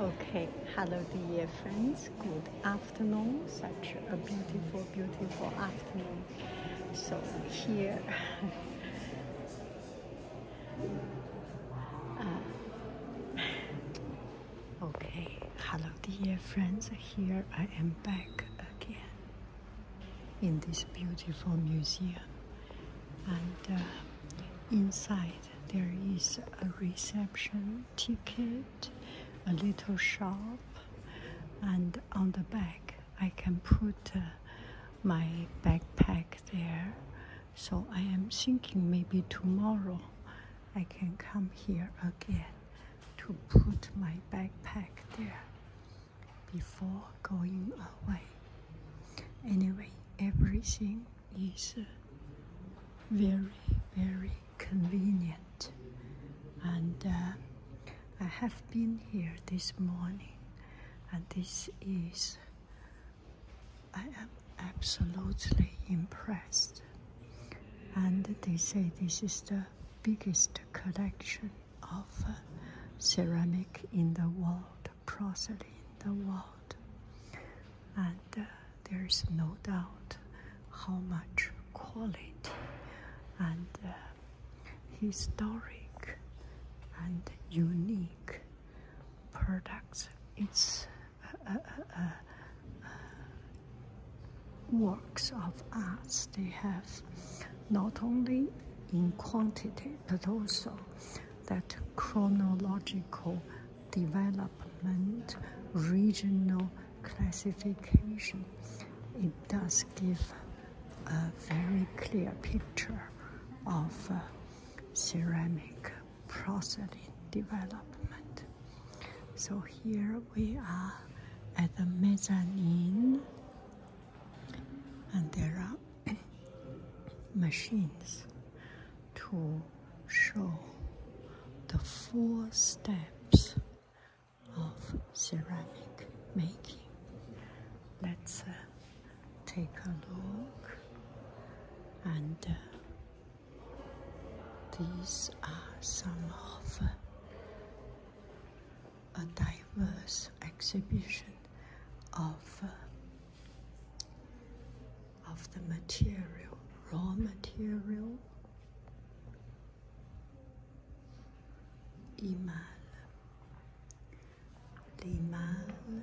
Okay, hello dear friends, good afternoon, such a beautiful, beautiful afternoon. So here, uh, okay, hello dear friends, here I am back again in this beautiful museum and uh, inside there is a reception ticket, a little shop, and on the back I can put uh, my backpack there. So I am thinking maybe tomorrow I can come here again to put my backpack there before going away. Anyway, everything is uh, very, very convenient. And uh, I have been here this morning, and this is, I am absolutely impressed. And they say this is the biggest collection of uh, ceramic in the world porcelain the world and uh, there's no doubt how much quality and uh, historic and unique products it's uh, works of arts they have not only in quantity but also that chronological development, regional classification, it does give a very clear picture of uh, ceramic porcelain development. So here we are at the mezzanine and there are machines to show the four steps of ceramic making. Let's uh, take a look and uh, these are some of uh, a diverse exhibition of of the material, raw material, imal, l'imal,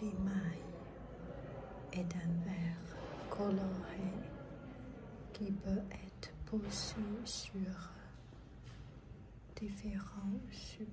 l'imaille et d'un verre coloré qui peut être posé sur différents sujets.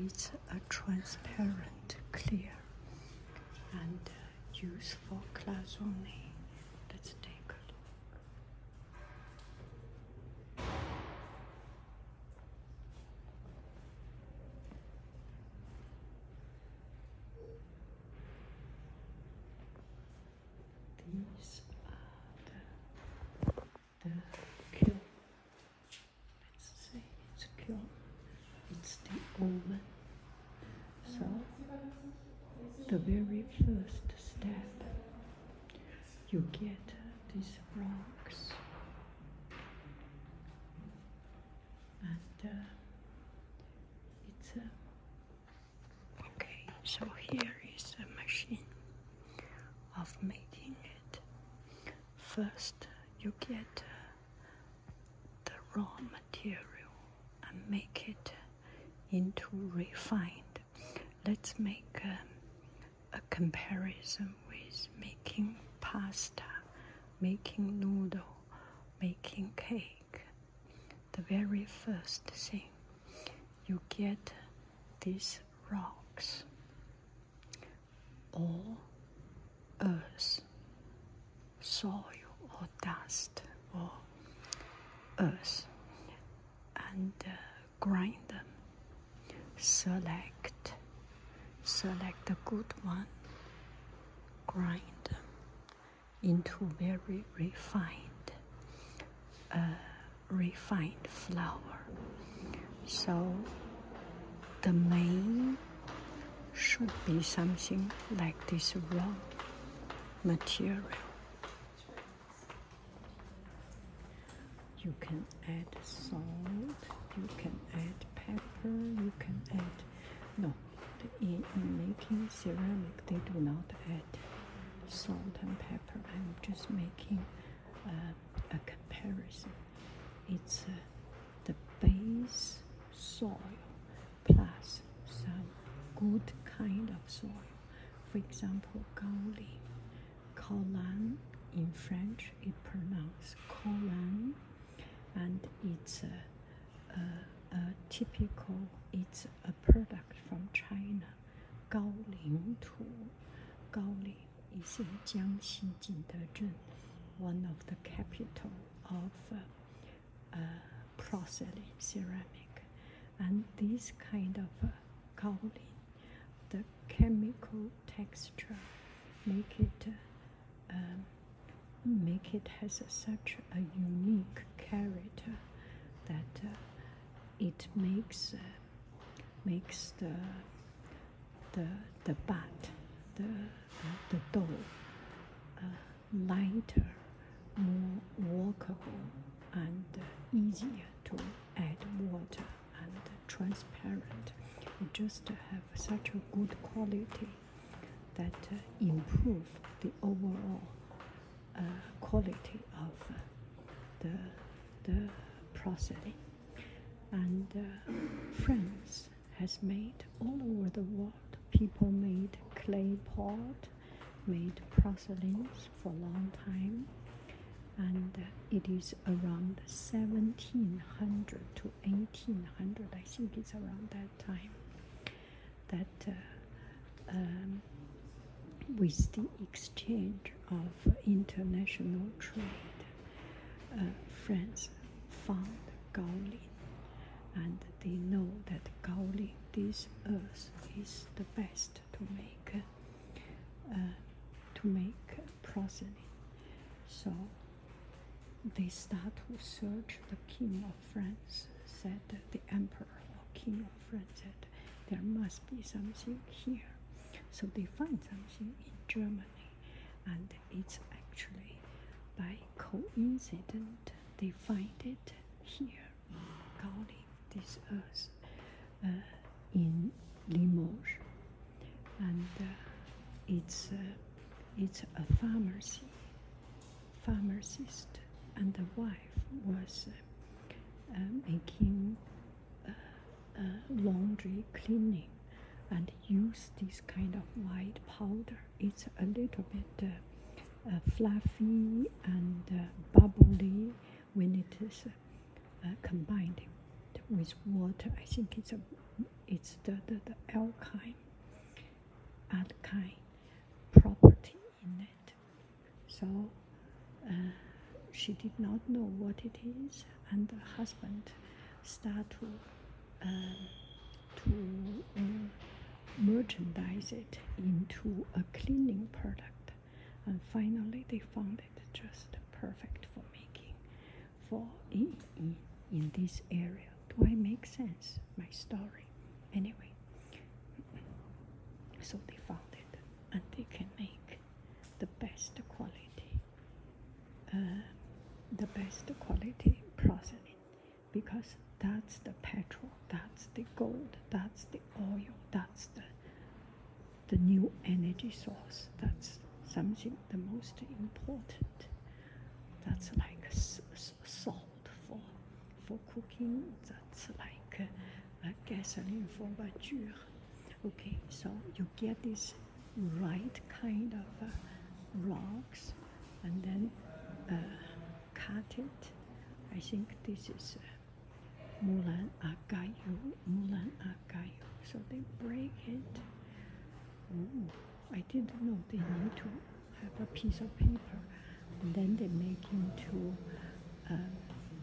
It's a transparent, clear, and uh, useful glass only. Let's take a look. These are the cure. Let's say it's a cure. It's the omen. So, the very first step, you get these rocks. And uh, it's a... okay, so here is a machine of making it. First, you get uh, the raw material and make it into refined. Let's make um, a comparison with making pasta, making noodle, making cake. The very first thing, you get these rocks or earth, soil or dust or earth, and uh, grind them. Select, select the good one, grind them into very refined. Uh, refined flour. So the main should be something like this raw material. You can add salt, you can add pepper, you can add no in, making ceramic they do not add salt and pepper. I'm just making a comparison. It's uh, the base soil plus some good kind of soil. For example, Gaoli, Colan in French, it pronounced Colan, and it's a, typical, it's a product from China, Gaoling Tu, Gaoli is Jiangxi Jingdezhen, one of the capital of uh, porcelain ceramic. And this kind of uh, the chemical texture, make it uh, um, make it has such a unique character that uh, it makes makes the the the bat, the the, dough lighter, more workable, and easier to add water and transparent. You just have such a good quality that uh, improve the overall uh, quality of uh, the, the prosody and uh, France has made all over the world people made clay pot made proselytes for a long time and uh, it is around 1700 to 1800 I think it's around that time that uh, um, with the exchange of international trade, uh, France found Gaolin, and they know that Gaolin, this earth, is the best to make uh, to make porcelain. So they start to search the king of France, said the emperor king my friend said there must be something here. So they find something in Germany, and it's actually by coincidence they find it here, calling this earth uh, in Limoges, and uh, it's uh, it's a pharmacy, pharmacist, and the wife was making laundry cleaning and use this kind of white powder. It's a little bit uh, uh, fluffy and uh, bubbly when it is combined with water. I think it's a it's the, the, the alkine alkane property in it. So uh, she did not know what it is, and the husband started to, um, to uh, merchandise it into a cleaning product. And finally, they found it just perfect for making for in, in this area. Do I make sense? My story. Anyway, so they found it and they can make the best quality uh, the best quality porcelain because that's the petrol that's the gold that's the oil that's the the new energy source that's something the most important that's like salt for for cooking that's like uh, gasoline for bajur okay so you get this right kind of uh, rocks and then uh, cut it I think this is uh, Mulan Agayu Mulan Agayu so they break it I didn't know they need to have a piece of paper and then they make into uh,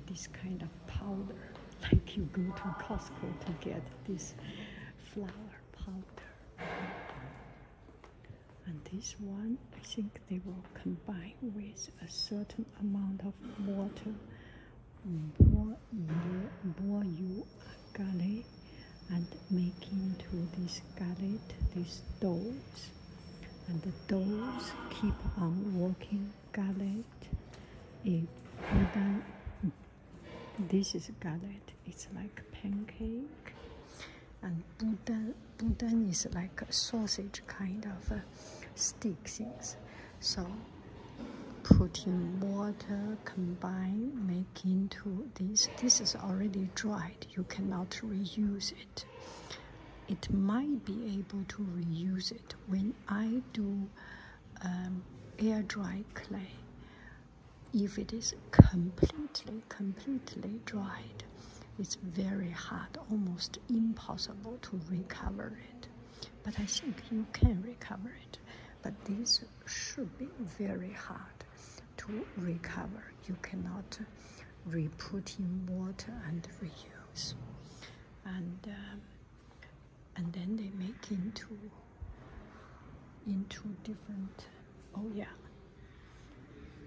this kind of powder like you go to Costco to get this flour powder and this one I think they will combine with a certain amount of water boil you a galley and make into this gullet, this dough and the doors keep on working garlic it this is garlic it's like pancake and budan budan is like a sausage kind of uh, stick things so putting water combine make into this this is already dried you cannot reuse it it might be able to reuse it when I do um, air dry clay if it is completely completely dried it's very hard almost impossible to recover it but I think you can recover it but this should be very hard to recover you cannot re-put in water and reuse and um, and then they make into into different oh yeah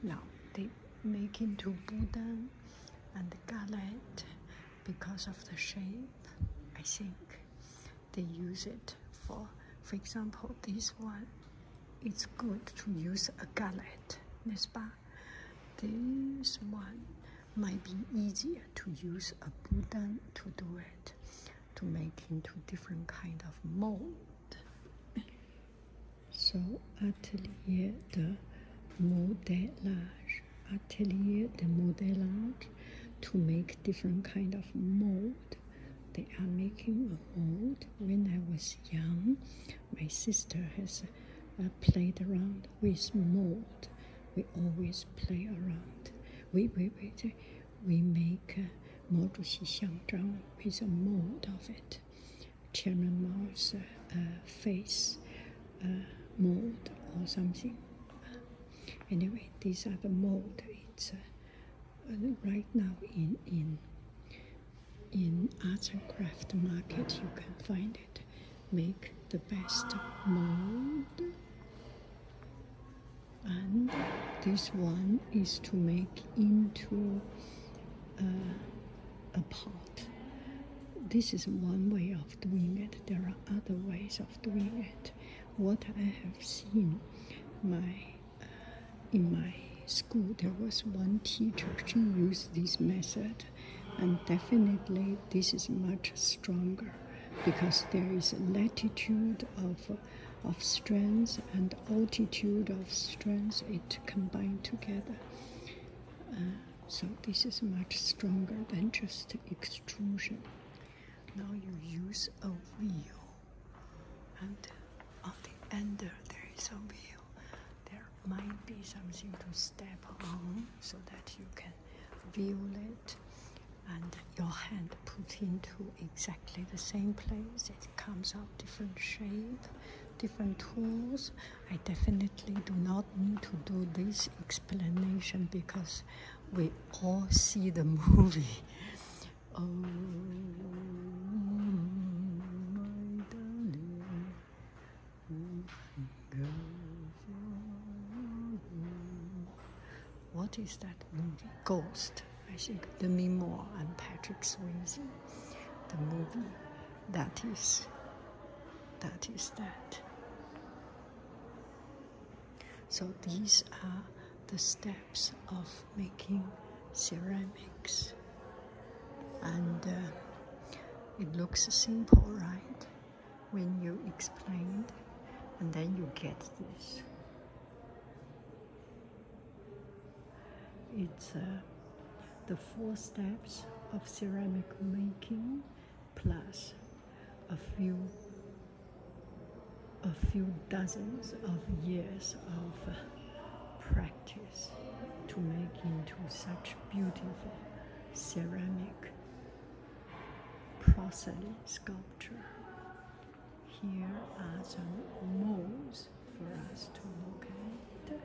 now they make into buddha and galette because of the shape i think they use it for for example this one it's good to use a galette n'est-ce pas this one might be easier to use a Budan to do it, to make into different kind of mold. So atelier de modelage, atelier de modelage, to make different kind of mold. They are making a mold. When I was young, my sister has I played around with mold. We always play around. We we we, we make uh, model uh, with a mold of it. Chairman Mao's uh, uh, face mold or something. Anyway, these are the mold. It's uh, right now in in in arts and craft market you can find it make the best mold and this one is to make into a pot this is one way of doing it there are other ways of doing it what i have seen my uh, in my school there was one teacher she used this method and definitely this is much stronger because there is latitude of of strength and altitude of strength it combined together uh, so this is much stronger than just extrusion now you use a wheel and on the end there is a wheel there might be something to step on so that you can feel it and your hand put into exactly the same place it comes out different shape different tools i definitely do not need to do this explanation because we all see the movie oh, what is that movie? Ghost, I think. Demi Moore and Patrick Swayze. The movie. That is. That is that. So these are the steps of making ceramics and uh, it looks simple right when you explained and then you get this it's uh, the four steps of ceramic making plus a few a few dozens of years of practice uh, to make into such beautiful ceramic porcelain sculpture. Here are some molds for us to look at.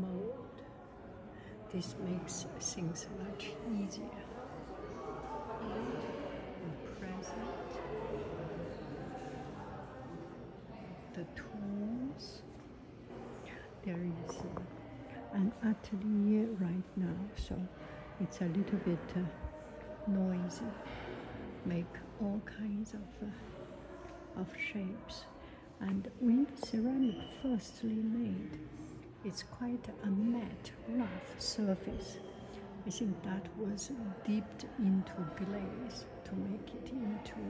Mold. This makes things much easier and present. The tools. There is an atelier right now, so it's a little bit uh, noisy. Make all kinds of uh, of shapes, and when the ceramic firstly made, it's quite a mat rough surface. I think that was dipped into glaze to make it into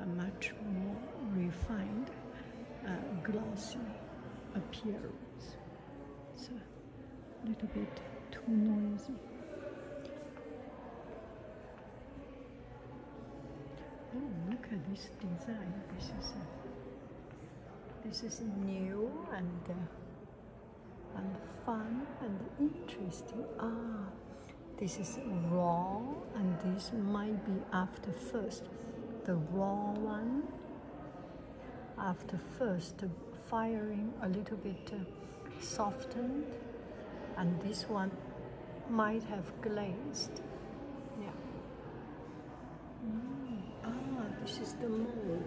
a much more refined, uh, glossy appearance. It's a little bit too noisy. Oh, look at this design. This is, this is new and uh, and the fun and the interesting. Ah, this is raw and this might be after first. The raw one after first the firing a little bit uh, softened and this one might have glazed. Yeah. Mm, ah, this is the mold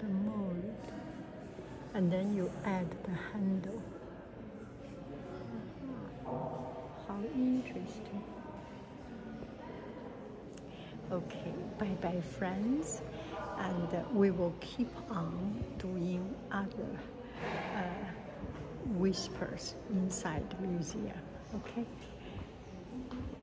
the mold and then you add the handle. How interesting. Okay, bye bye friends. And uh, we will keep on doing other uh, whispers inside the museum. Okay?